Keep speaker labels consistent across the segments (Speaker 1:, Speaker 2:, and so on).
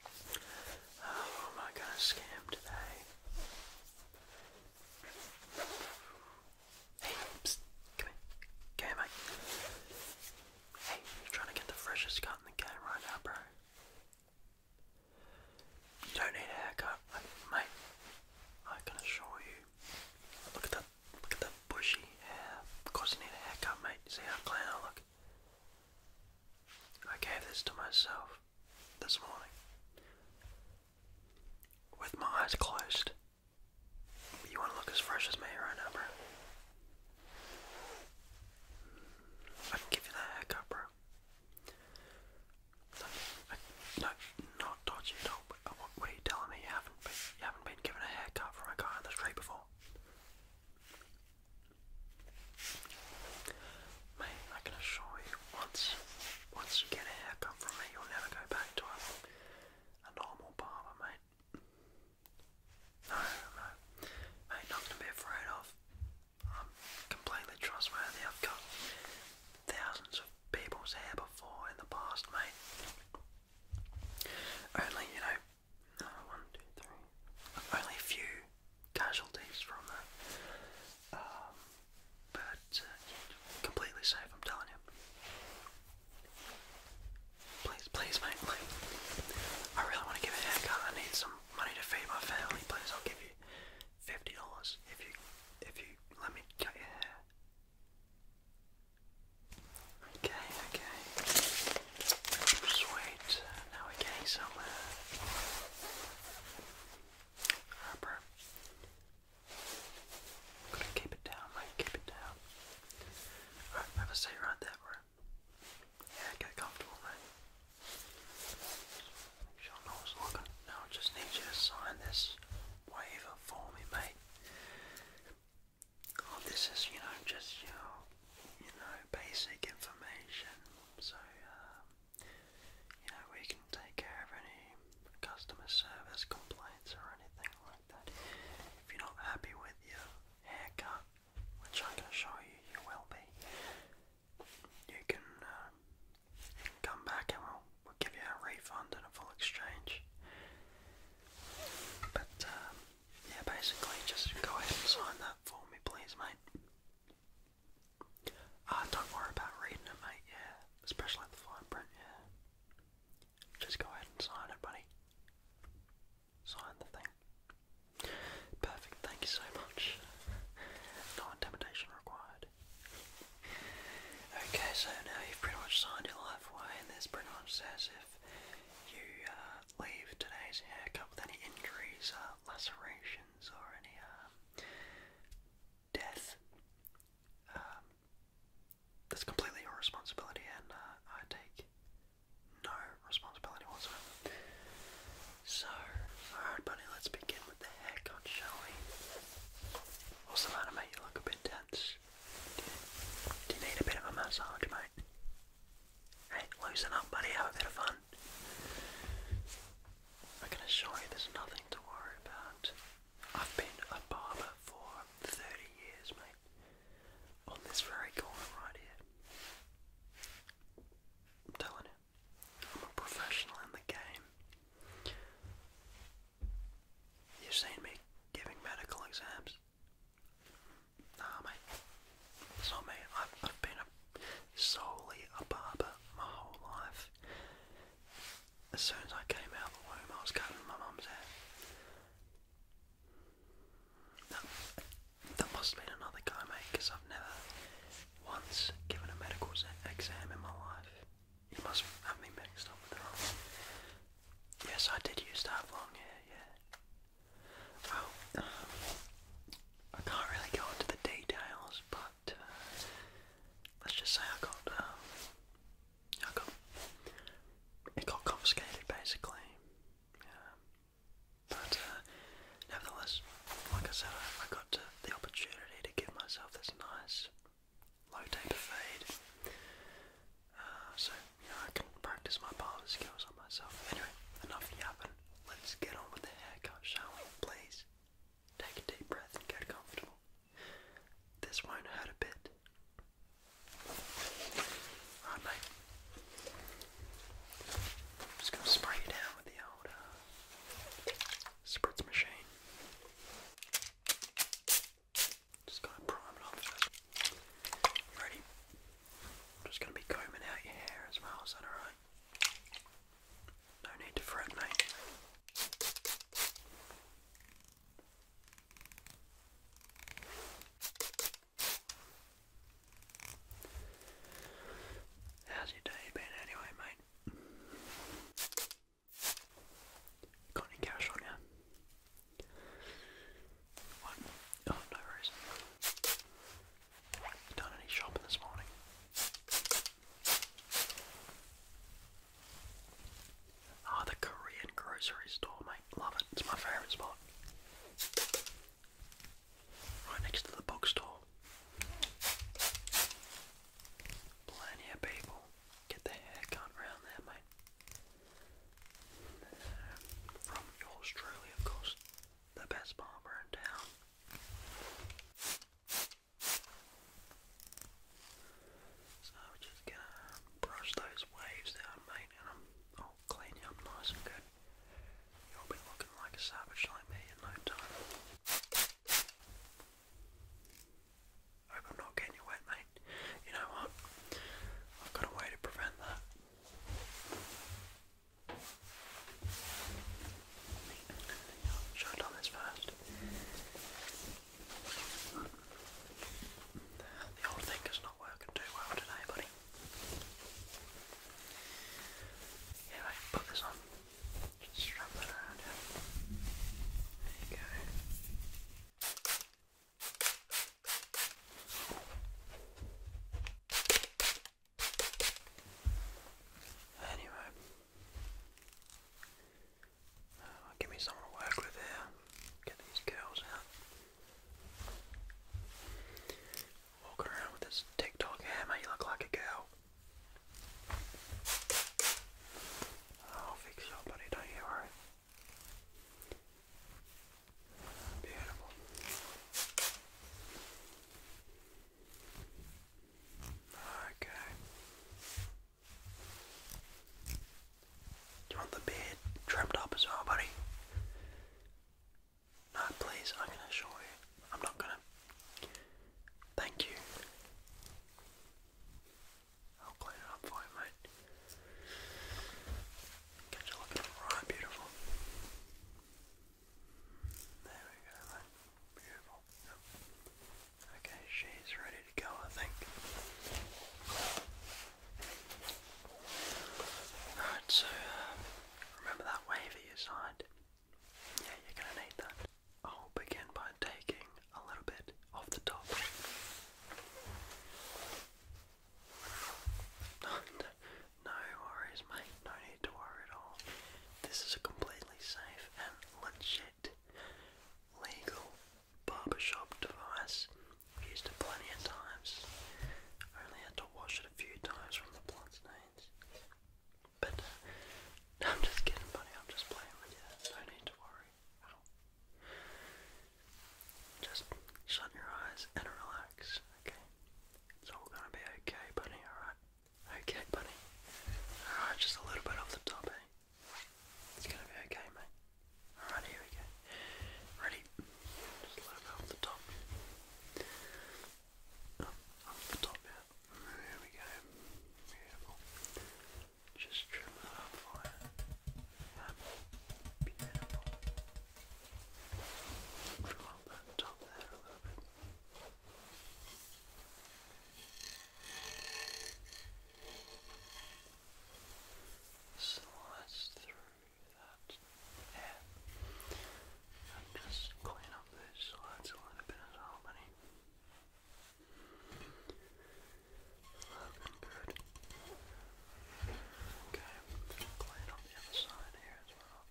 Speaker 1: Oh, am I gonna scam today? Hey, come here. Come here, mate. Hey, I'm trying to get the freshest cut in the game right now, bro. You don't need a haircut, mate. I can assure you. Look at that, look at that bushy hair. Of course you need a haircut, mate. see how clean I look? I gave this to myself this morning with my eyes closed. You want to look as fresh as me right now, bro? I can give you that haircut, bro. No, not dodgy. No, what, are you telling me? You haven't been, given a haircut from a guy on the street before? Mate, I can assure you, once once you get a haircut from me, you'll never go back to a, a normal barber, mate. No, no. Mate, nothing to be afraid of. I'm completely trustworthy. I've got thousands of people's hair before in the past, mate. Only, you know, no, one, two, three. Only few casualties from that. Um, but uh, yeah, completely safe, I'm telling you. Please, please, mate, I really want to give a haircut. I need some money to feed my family. Please, I'll give you fifty dollars if you if you let me cut your hair. Okay, okay. Sweet. Uh, now we're getting some uh, rubber. I'm gonna keep it down, mate. Keep it down. Alright, have a seat right there, bro. Yeah, get comfortable, mate. Make sure no one's looking. Now I just need you to sign this waiver for me, mate. Oh, this is, you know, just, you you know, basic information so um, you know, we can take care of any customer service complaints or anything like that. If you're not happy with your haircut, which I can assure you you will be, you can, um, come back and we'll, give you a refund and a full exchange. But um, yeah, basically just go ahead and sign that for me, please, mate. Uh, don't worry about reading it, mate, yeah. Especially the fine print, yeah. Just go ahead and sign it, buddy. Sign the thing. Perfect, thank you so much. No intimidation required. Okay, so now you've pretty much signed your life away, and this pretty much says if you uh, leave today's haircut with any injuries, uh, lacerations, or any um, death. Um, that's completely your responsibility, and uh, I take no responsibility whatsoever. So, alright, buddy, let's begin with the haircut, shall we? What's the matter, mate? You look a bit tense. do you need a bit of a massage, mate? Hey, loosen up, buddy. Have a bit of fun. I can assure you there's nothing to worry about. I've been a barber for 30 years, mate. On this very corner right here. I'm telling you, I'm a professional in the game. You've seen me giving medical exams. Nah, mate. So, mate, I've, I've been a, solely a barber my whole life. As soon as I came out the womb, I was cutting my mum's hair. That, that must have been another guy, mate, because I've never once given a medical exam in my life. You must have me mixed up with the wrong one. Yes, I did used to have long hair, yeah. Oh, I can't really go into the details, but uh, let's just say I got, um, I got, it got confiscated basically. But uh, nevertheless, like I said, I, got the opportunity to give myself this nice low taper fade, uh, so I can practice my barber skills on myself. Anyway, enough yapping let's get on with the haircut, shall we? Please. Take a deep breath and get comfortable. This won't hurt a bit. Alright, mate. just gonna spray you down with the old uh, spritz machine. Just gotta prime it off ready? just gonna be combing out your hair as well, is that alright? No need to fret, mate. How's your day been anyway, mate? Got any cash on you? What? Oh, no worries. You done any shopping this morning? Ah, the Korean grocery store, mate. Love it. It's my favourite spot. Right next to the bookstore. Plenty of people get their haircut around there, mate. From Australia, of course the best bomber in town. So I'm just gonna brush those waves down, mate, and I'm oh, clean you up nice and good. You'll be looking like a savage like me in no time. Hope I'm not getting you wet, mate. You know what? I've got a way to prevent that. Should I have this first? The old thing is not working too well today, buddy. Yeah, put this on. Just strap that around here. There you go. Anyway, uh, give me someone to work with here. Get these girls out. Walking around with this TikTok hair, You look like a girl. I'll fix your buddy. Don't you worry. Beautiful. Okay. Do you want the beard trimmed up as well, buddy? No, please, I can assure you. I'm not gonna. Thank you. I'll clean it up for you, mate. Get you looking right beautiful. There we go, Beautiful. Okay, she's ready to go, I think. Alright, so um, remember that waiver you signed? Yeah, you're gonna need that. I'll begin by taking a little bit off the top. No worries, mate. No need to worry at all. This is a completely safe and legit legal barbershop device. Used it plenty of times. Only had to wash it a few times from the blood stains. But uh, I'm just kidding, buddy. I'm just playing with you. No need to worry Just shut your eyes and relax, okay? It's all gonna be okay, buddy, alright? Okay, buddy. Alright, just a little bit off the top, eh? It's gonna be okay, mate. Alright, here we go. Ready? Just a little bit off the top. off the top, yeah. we go. Beautiful. Just trim that up for Beautiful. Draw up Slice through that hair and just clean up those sides a little bit as harmony. Looking good. Okay, clean up the other side here as well.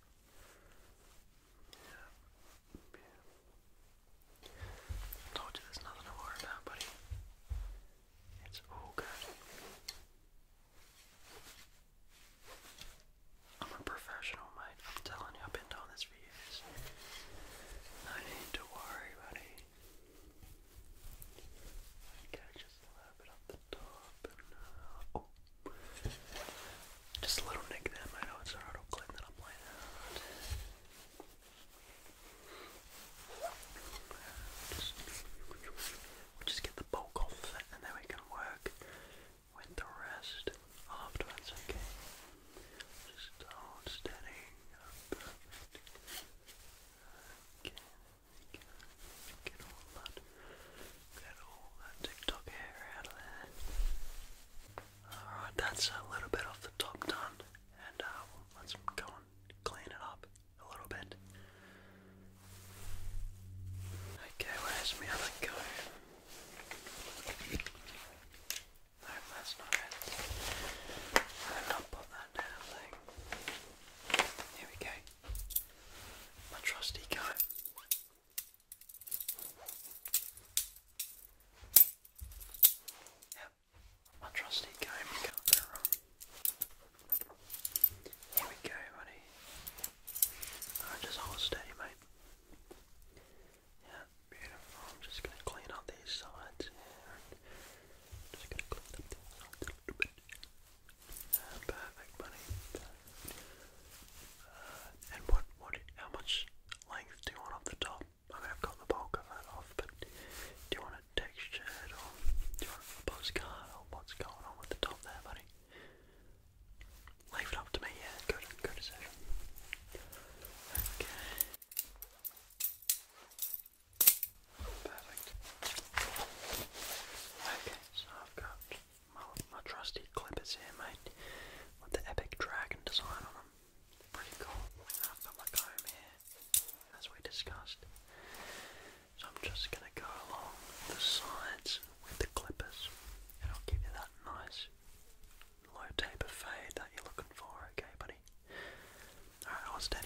Speaker 1: I told you there's nothing to worry about, buddy. It's all good. I'm a professional, mate. I'm telling you, I've been doing this for years. No need to worry, buddy. Okay, just a little up Oh. Just a little nick them. I know it's an auto clip that I'm playing out. Just, get the bulk off and then we can work with the rest after okay. Just hold steady. Perfect. Okay, Get all that TikTok hair out of there. Alright, that's a little bit off the top done. And uh, let's go and clean it up a little bit. Okay, where's my other comb? No, that's not it. I've not put that down thing. Here we go. My trusty comb. Yep, my trusty game can Here we go, buddy. Alright, oh, just hold steady, mate. Yeah, beautiful. I'm just going to clean up these sides just going to clean up a little bit perfect, buddy. Uh, and what, what, how much length do you want off the top? I am gonna got the bulk of that off, but do you want it textured or do you want a postcard or what's going on with the top there, buddy? Leave it up to me, yeah, good, good decision. Okay. Perfect. Okay, so I've got my, trusty clippers here, mate, with the epic dragon design on them. Pretty cool. I've got my comb here, as we discussed. So I'm just going to go along the sides with the clippers, and I'll give you that nice low taper fade that you're looking for, okay, buddy? Alright, I'll steady.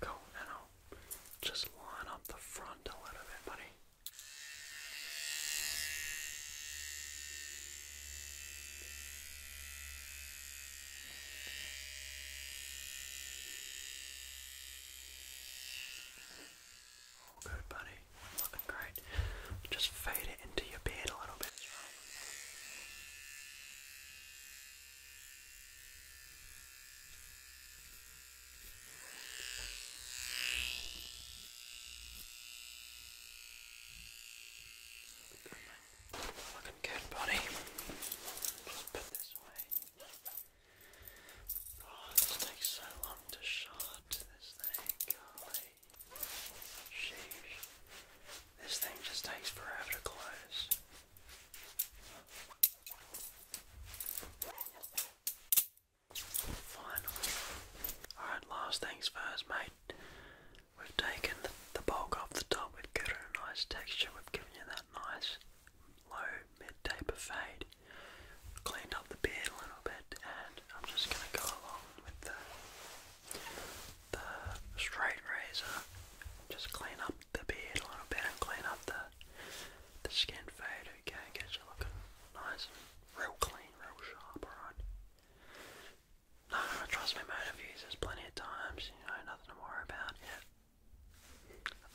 Speaker 1: Go now. Just line up the front a little bit, buddy. All good, buddy. Looking great. Just fade it into your beard a little bit as well. Good. Looking good, buddy. Just put this away. Oh, this takes so long to shot. This thing, golly. Sheesh. This thing just takes forever to close. Finally. Alright, last things first, mate. We've taken the, bulk off the top, we've given it a nice texture, we've given you that nice low mid taper fade. Cleaned up the beard a little bit, and I'm just going to go along with the, straight razor. Just clean up the beard a little bit and clean up the, the skin fade, okay? Get you looking nice real clean, real sharp, alright? No, I trust my motor views. There's plenty of times, you know, nothing to worry about yet.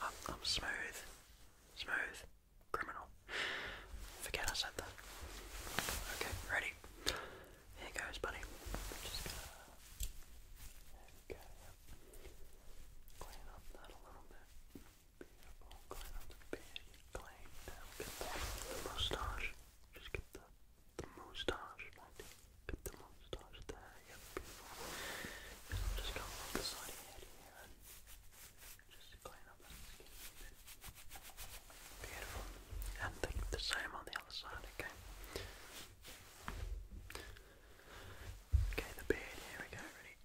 Speaker 1: I'm, smooth. Smooth. Criminal. Forget I said that. Okay, ready? Here goes, buddy. Just yep. Clean up that a little bit. Beautiful. Clean up the beard plane now. Get the moustache. Just get the, the moustache, right? Get the moustache there. Yep, And I'll just come along the side of your head here and just clean up that skin a bit. Beautiful. And the same on the other side, okay? Okay, the beard, here we go, ready?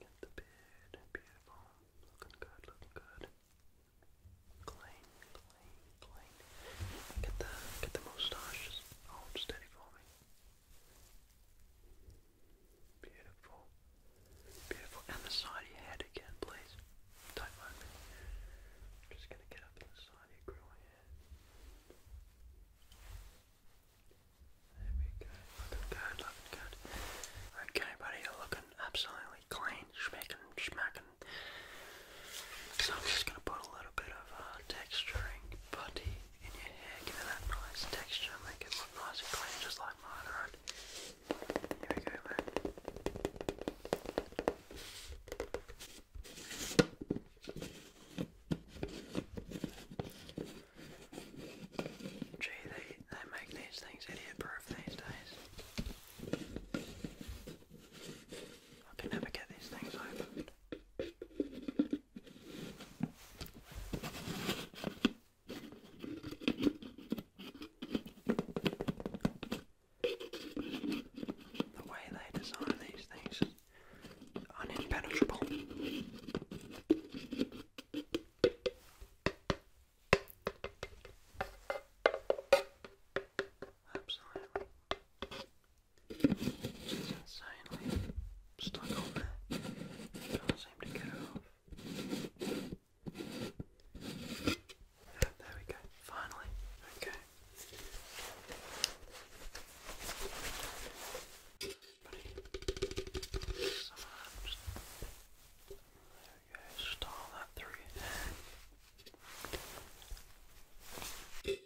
Speaker 1: Get the beard, beautiful. Looking good, looking good. Clean, clean, clean. Get the get the moustache just steady for me. Beautiful. Beautiful. And the side of your head again, please. Don't mind just gonna get up the side of your grill here. There we go. Looking good, looking good. Okay, buddy, looking absolutely clean, schmecking, smacking. So I'm just going to put a little bit of uh, texturing putty in your hair, give it that nice texture, make it look nice and clean, just like mine, alright? Here we go, man. Gee, they, they make these things idiot-proof. I can never get these things opened. The way they design these things unimpenetrable. Absolutely. It's insanely stuck on there. It not seem to get it off. there we go. Finally. Okay you that through Good.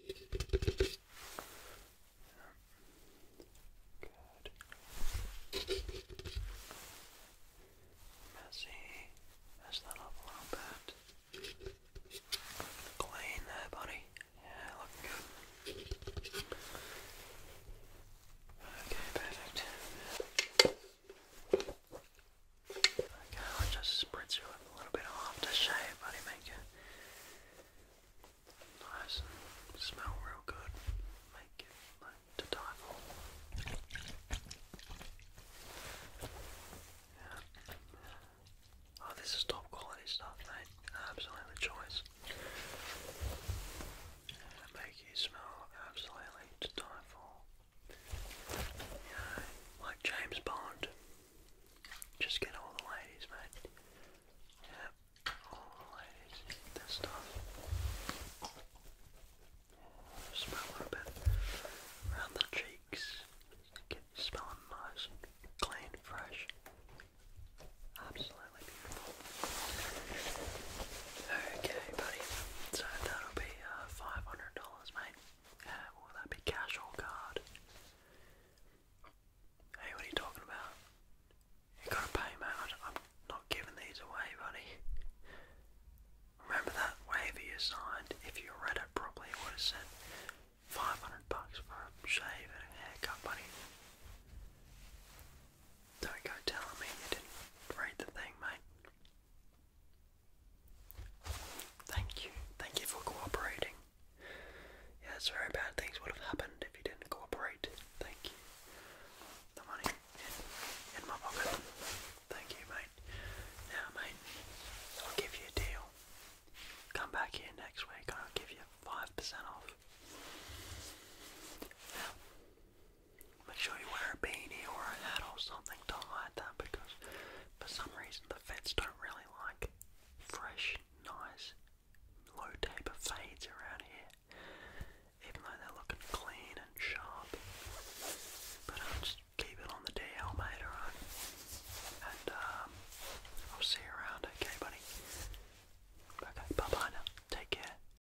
Speaker 1: Messy. Mess that up a little bit. Clean that, buddy. Yeah, looking good. Okay, perfect. Okay, i just spritz you with a little bit of aftershave, eh, buddy, make it nice and smell real good. Make it like to Yeah. Oh, this is top quality stuff, mate. Absolutely choice make you smell absolutely to die like James Bond. Just get all the ladies, mate. Yep, all the ladies this stuff. Smell a bit around the cheeks. Get smelling nice clean, fresh. Absolutely Okay, buddy. So that'll be uh, five hundred dollars, mate. Uh, will that be cash or card? Hey, what are you talking about? You gotta pay, man. I'm not giving these away, buddy. Remember that waiver you signed? If you read it properly, it would have said 500 bucks for a shave and haircut, buddy. Don't go telling me you didn't read the thing, mate. Thank you. Thank you for cooperating. Yeah, it's very bad things would have happened if you didn't cooperate. Thank you. The money in, my pocket. Thank you, mate. Now, mate, I'll give you a deal. Come back here next week I'll give you 5% off. Now, Make sure you wear a beanie or a hat or something Don't like that because for some reason the feds don't really like fresh, nice, low taper fades around here. Even though they're looking clean and sharp. But I'll um, just keep it on the DL mate, alright? And um, I'll see you around, okay buddy? Okay, bye bye now. Take care.